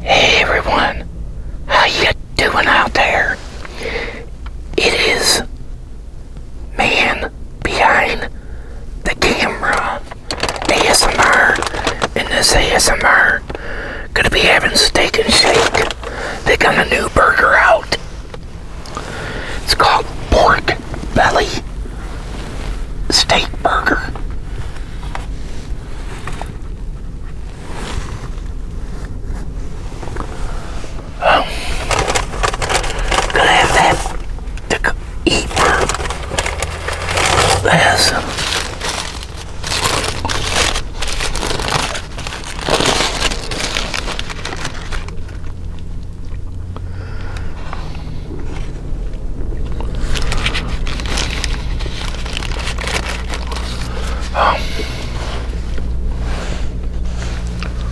Hey everyone, how you doing out there? It is man behind the camera ASMR, and this ASMR gonna be having steak and shake. They got a new burger out. It's called pork pork belly steak burger. Um, gonna have to eat this. Um,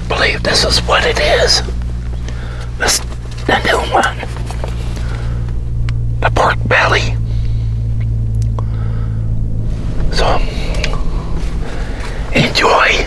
believe this is what it is. This the new one. The pork belly. So enjoy.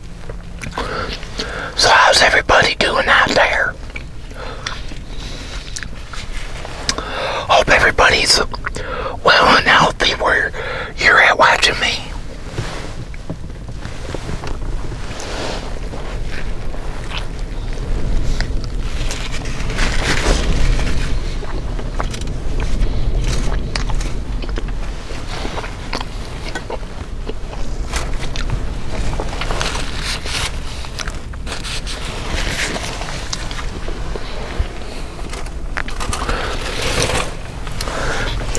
So how's everybody doing out there? Hope everybody's well and healthy where you're at watching me.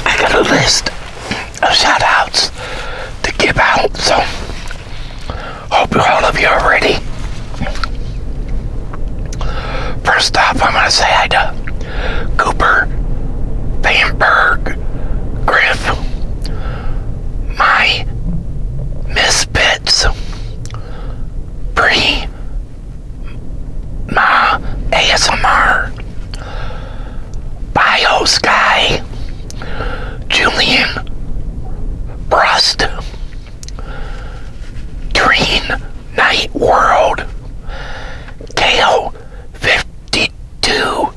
I got a list of shoutouts to give out, so hope all of you are ready. First off, I'm going to say Ida. Cooper, Bamberg, Griff, My Misfits, Bree, My ASMR, Biosky, Julian, Brust, Green Night World, Kale 15. 52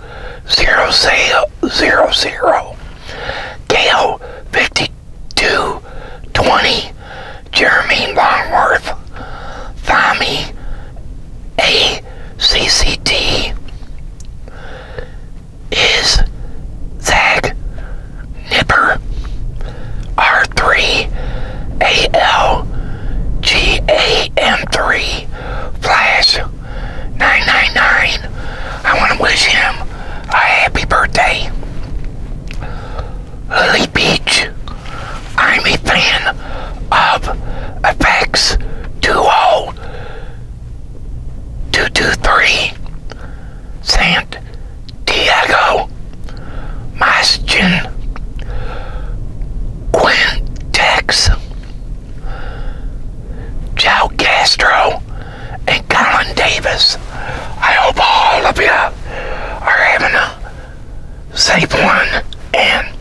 zero, zero, zero, zero. Gale 52 20 Jeremy Longworth Tommy A C C T is Zag Nipper R three A L G A M three Flash nine nine nine. I want to wish him a happy birthday. Lily Beach. I'm a fan of effects duo oh two two three. Diego Mastian Quintex Joe Castro and Colin Davis. I hope all of you are having a safe one and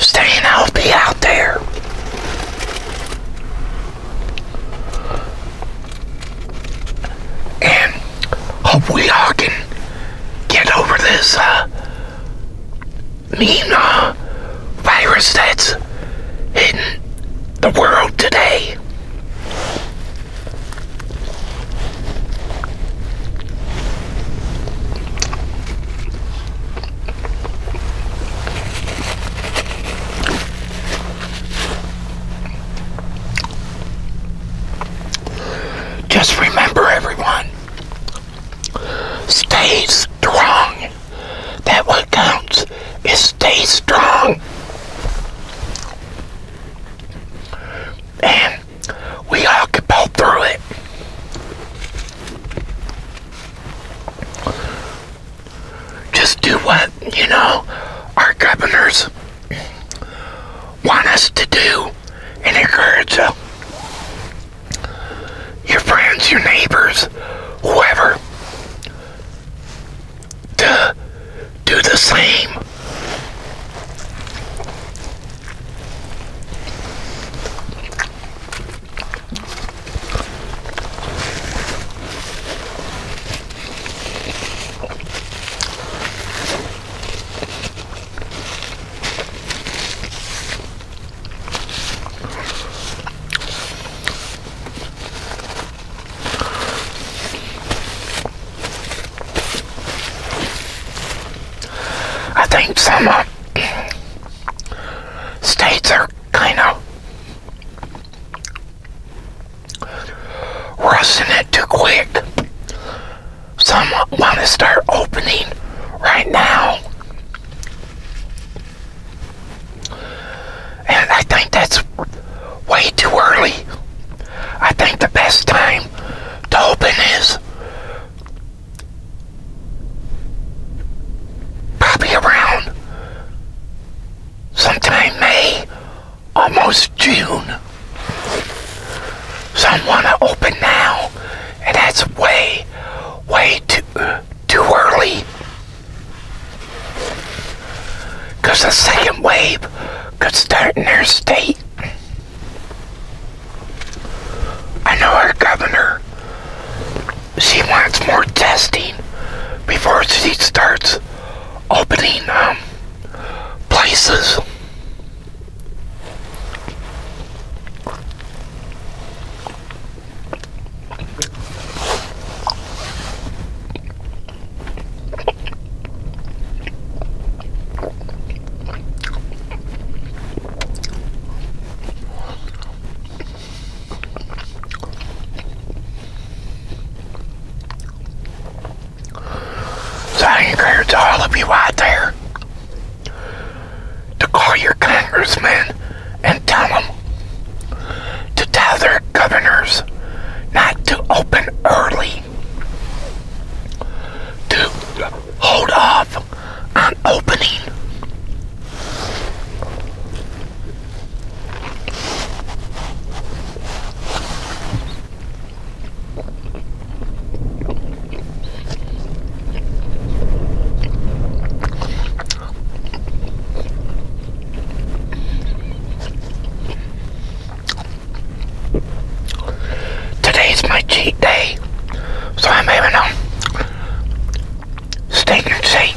staying healthy out there. And Hope we all can get over this uh, mean uh, virus that's hitting the world today. Just remember, everyone, stay strong. That what counts is stay strong. And we all can pull through it. Just do what, you know, our governors want us to do and encourage uh, your friends, your neighbors, whoever, to do the same. I think some uh, states are kind of rushing it too quick. Some want to start opening right now. And I think that's way too early. I think the best time to open is probably around sometime May almost June. Someone I to open now, and that's way, way too, too early. Because the second wave could start in their state. I know our governor, she wants more testing before she starts opening um, places. So I encourage all of you out there to call your congressmen and tell them to tell their governors not to open early, to hold off on opening. Today is my cheat day, so I'm having a steak and shake.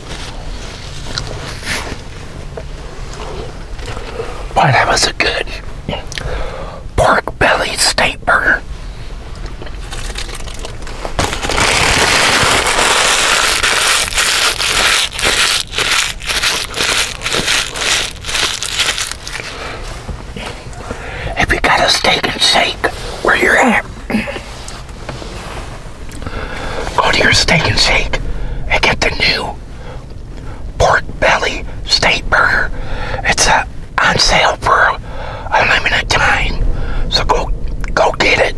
Boy, that was a good pork belly steak burger. If you got a steak and shake where you at, Go to your steak and shake and get the new pork belly steak burger. It's uh, on sale for a limited time. So go go get it.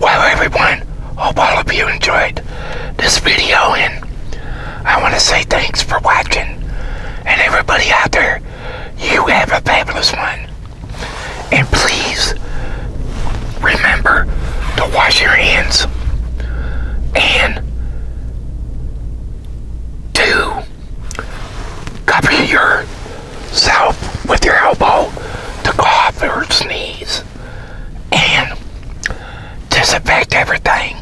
Well everyone, hope all of you enjoyed this video and I want to say thanks for watching and everybody out there, you have a fabulous one. And please remember to wash your hands and to cover yourself with your elbow to cough or sneeze and disinfect everything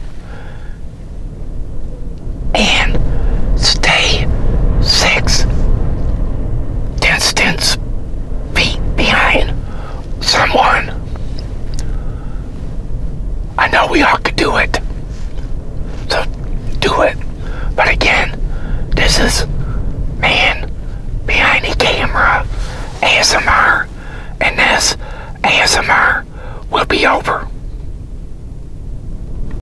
and stay six distance feet behind someone. I know we all could do it, so do it. But again, this is man behind the camera ASMR, and this ASMR will be over.